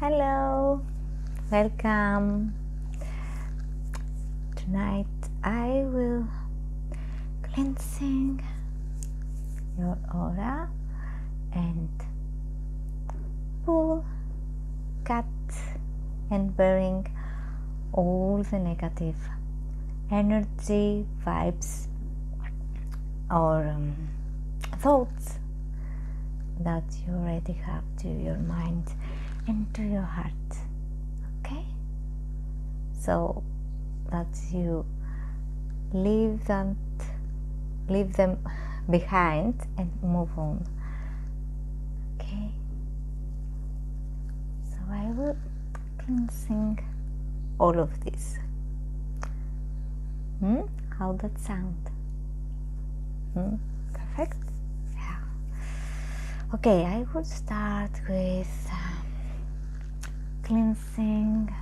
Hello, welcome. Tonight I will cleansing your aura and pull, cut, and burning all the negative energy, vibes, or um, thoughts that you already have to your mind and to your heart okay so that you leave them leave them behind and move on okay so i will cleansing all of this hmm? How that sound? Hmm? Perfect. Yeah. Okay, I will start with um, cleansing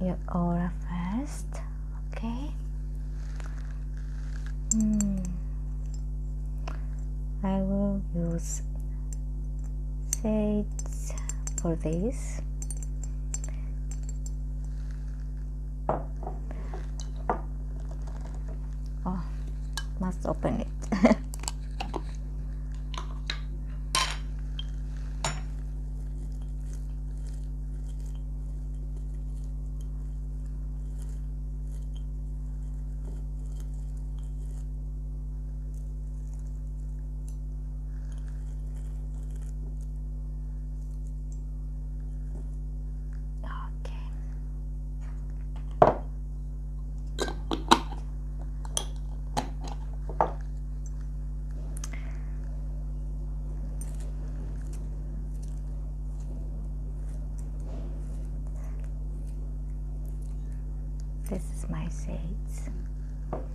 your aura first. Okay. Hmm. I will use sage for this oh must open it Okay. This is my shades.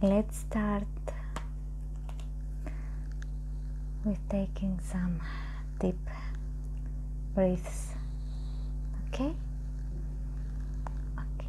let's start with taking some deep breaths okay okay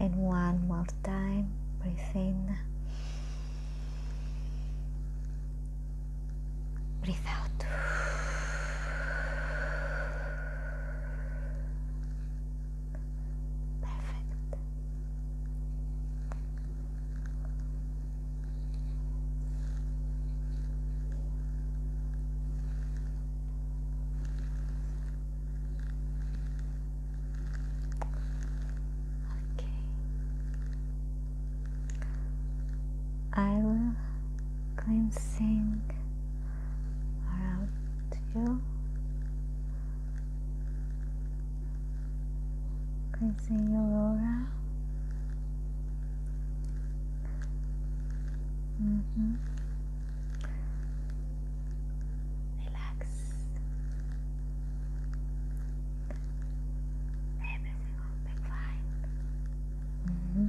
and one more time breathe in breathe out perfect Okay. I will cleansing around you. Cleansing your aura. Mm -hmm. Relax. Everything will be fine. -hmm.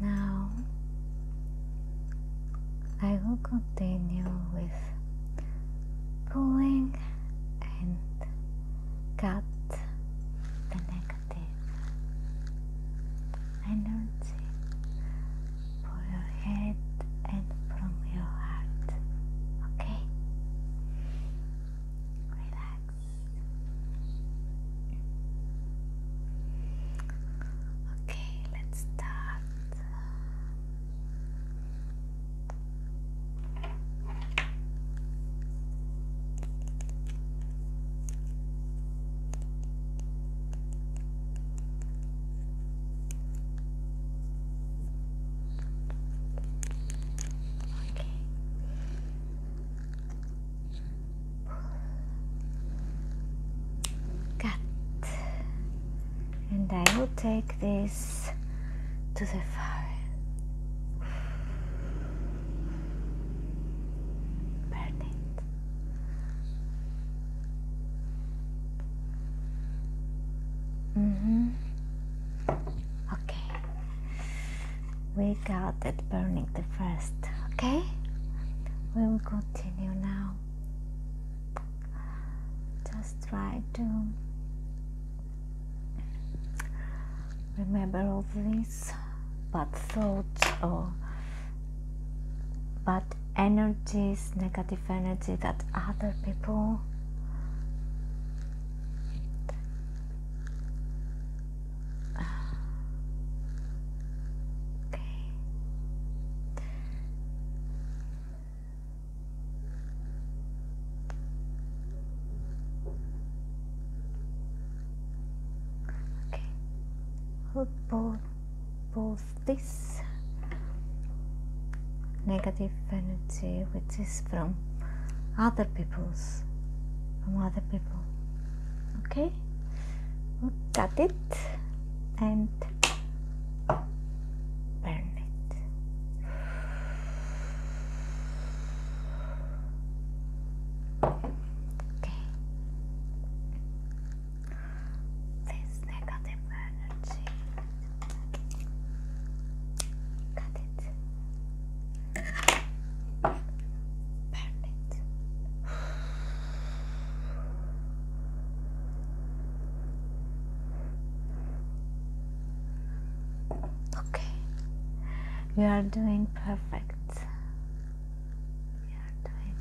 now I will continue with pulling and cut the negative energy from your head and from your heart. Okay? Relax. Okay, let's start. Okay. Cut. And I will take this to the fire. Burn it. Mm-hmm. Okay. We got it burning the first, okay? We will continue now. Just try to remember all this, but thoughts or but energies, negative energy that other people Okay. Okay. Pull, pull, pull this negative energy which is from other people's from other people okay we cut it and burn it okay this negative energy. Cut it. Burn Okay, you are doing perfect you're doing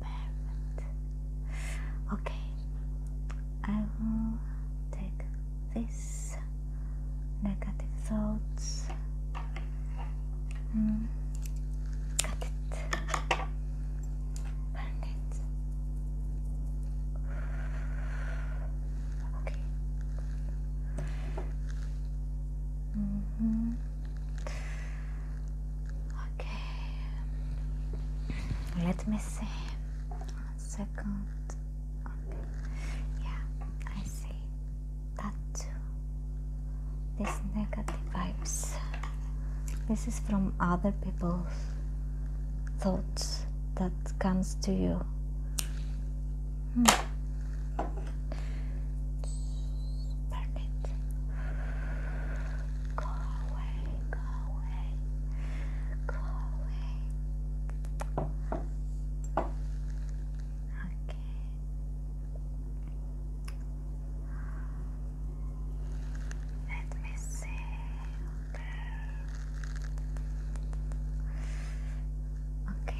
perfect. Okay, I will take this negative thoughts. Mm. Cut it. Burn it. Okay. Mm -hmm. Okay. Let me see. One second. Yeah, I see that too. This negative vibes. This is from other people's thoughts that comes to you. Hmm. Burn it. Go away, go away, go away. Okay. Let me see. Okay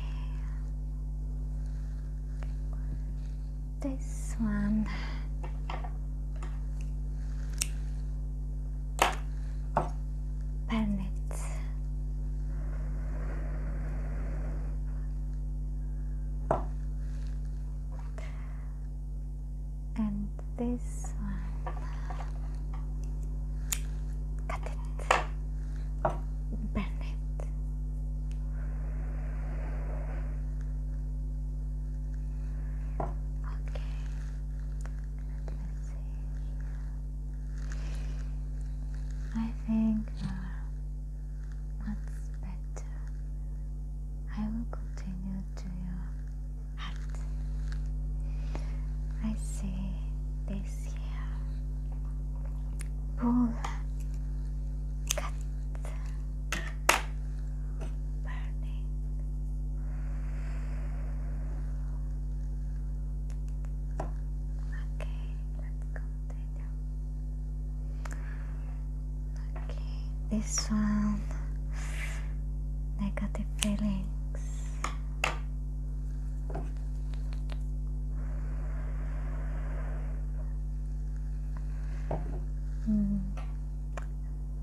this one burn and this one cut Bennett. Okay, I think that's uh, better, I will continue to your heart. I see this here. Pull, cut burning. Okay, let's continue. Okay, this one negative feelings. Mm.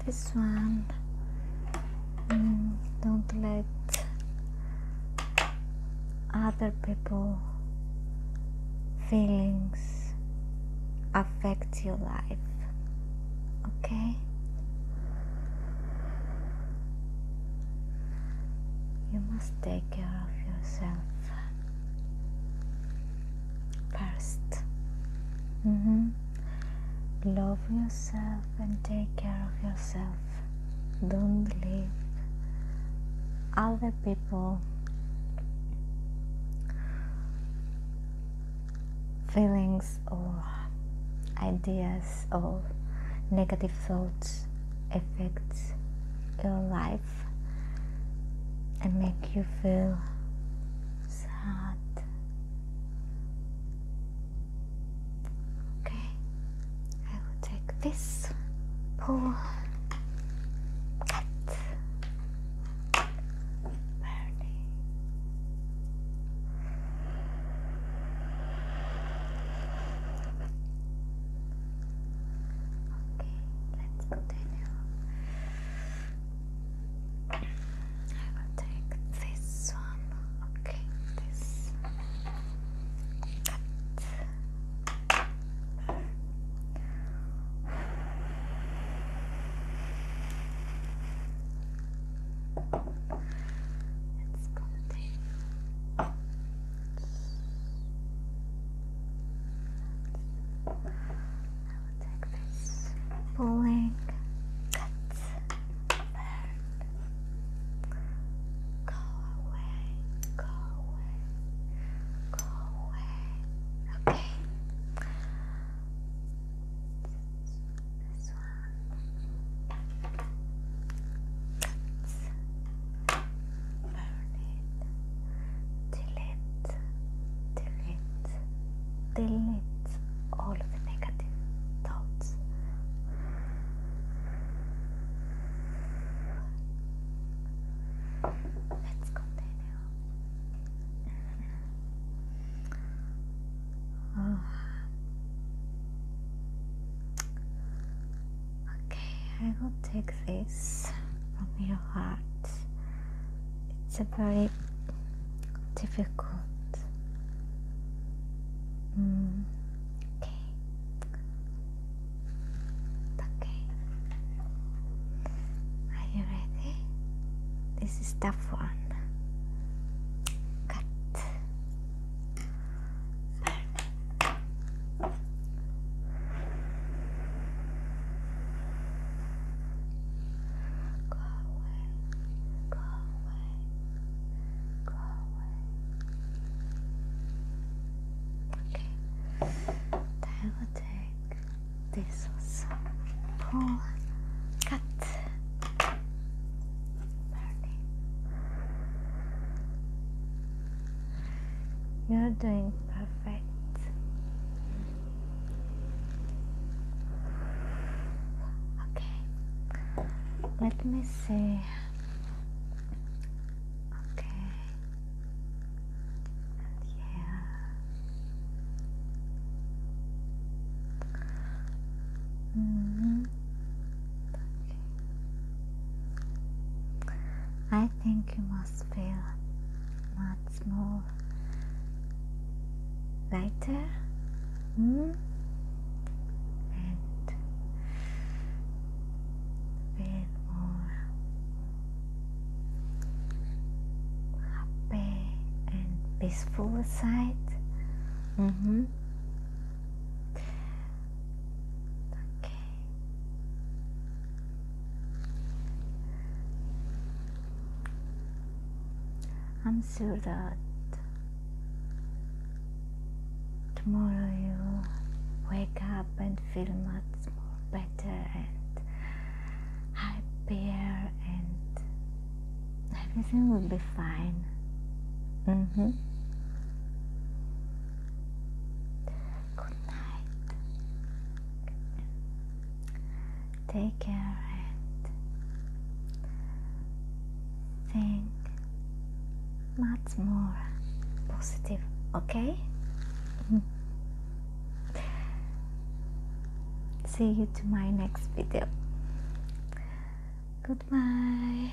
this one mm, don't let other people feelings affect your life okay you must take care of yourself first. Mm-hmm. Love yourself and take care of yourself. Don't believe other people feelings or ideas or negative thoughts affect your life and make you feel sad. Okay, I will take this pull. Okay, let's continue. I will take this one. Okay, this Let's continue. I will take this bowling cut Go away, go away, go away. Okay delete, delete, delete all of the negative thoughts. Let's continue. oh. Okay, I will take this from your heart. It's a very difficult. Mm. Okay. Okay. Are you ready? This is tough one. Cut. Perfect. Go away, go away, go away. Okay, I will take this also. Pull, cut, burning. You're doing perfect. Okay, let me see. Okay, yeah. -hmm. okay. I think you must feel much more lighter hmm? and feel more happy and peaceful side. Okay. Mm-hmm. I'm sure that tomorrow you wake up and feel much more better and happier and everything will be fine. Mm-hmm good night. Take care and think much more positive, okay? See you to my next video. Goodbye.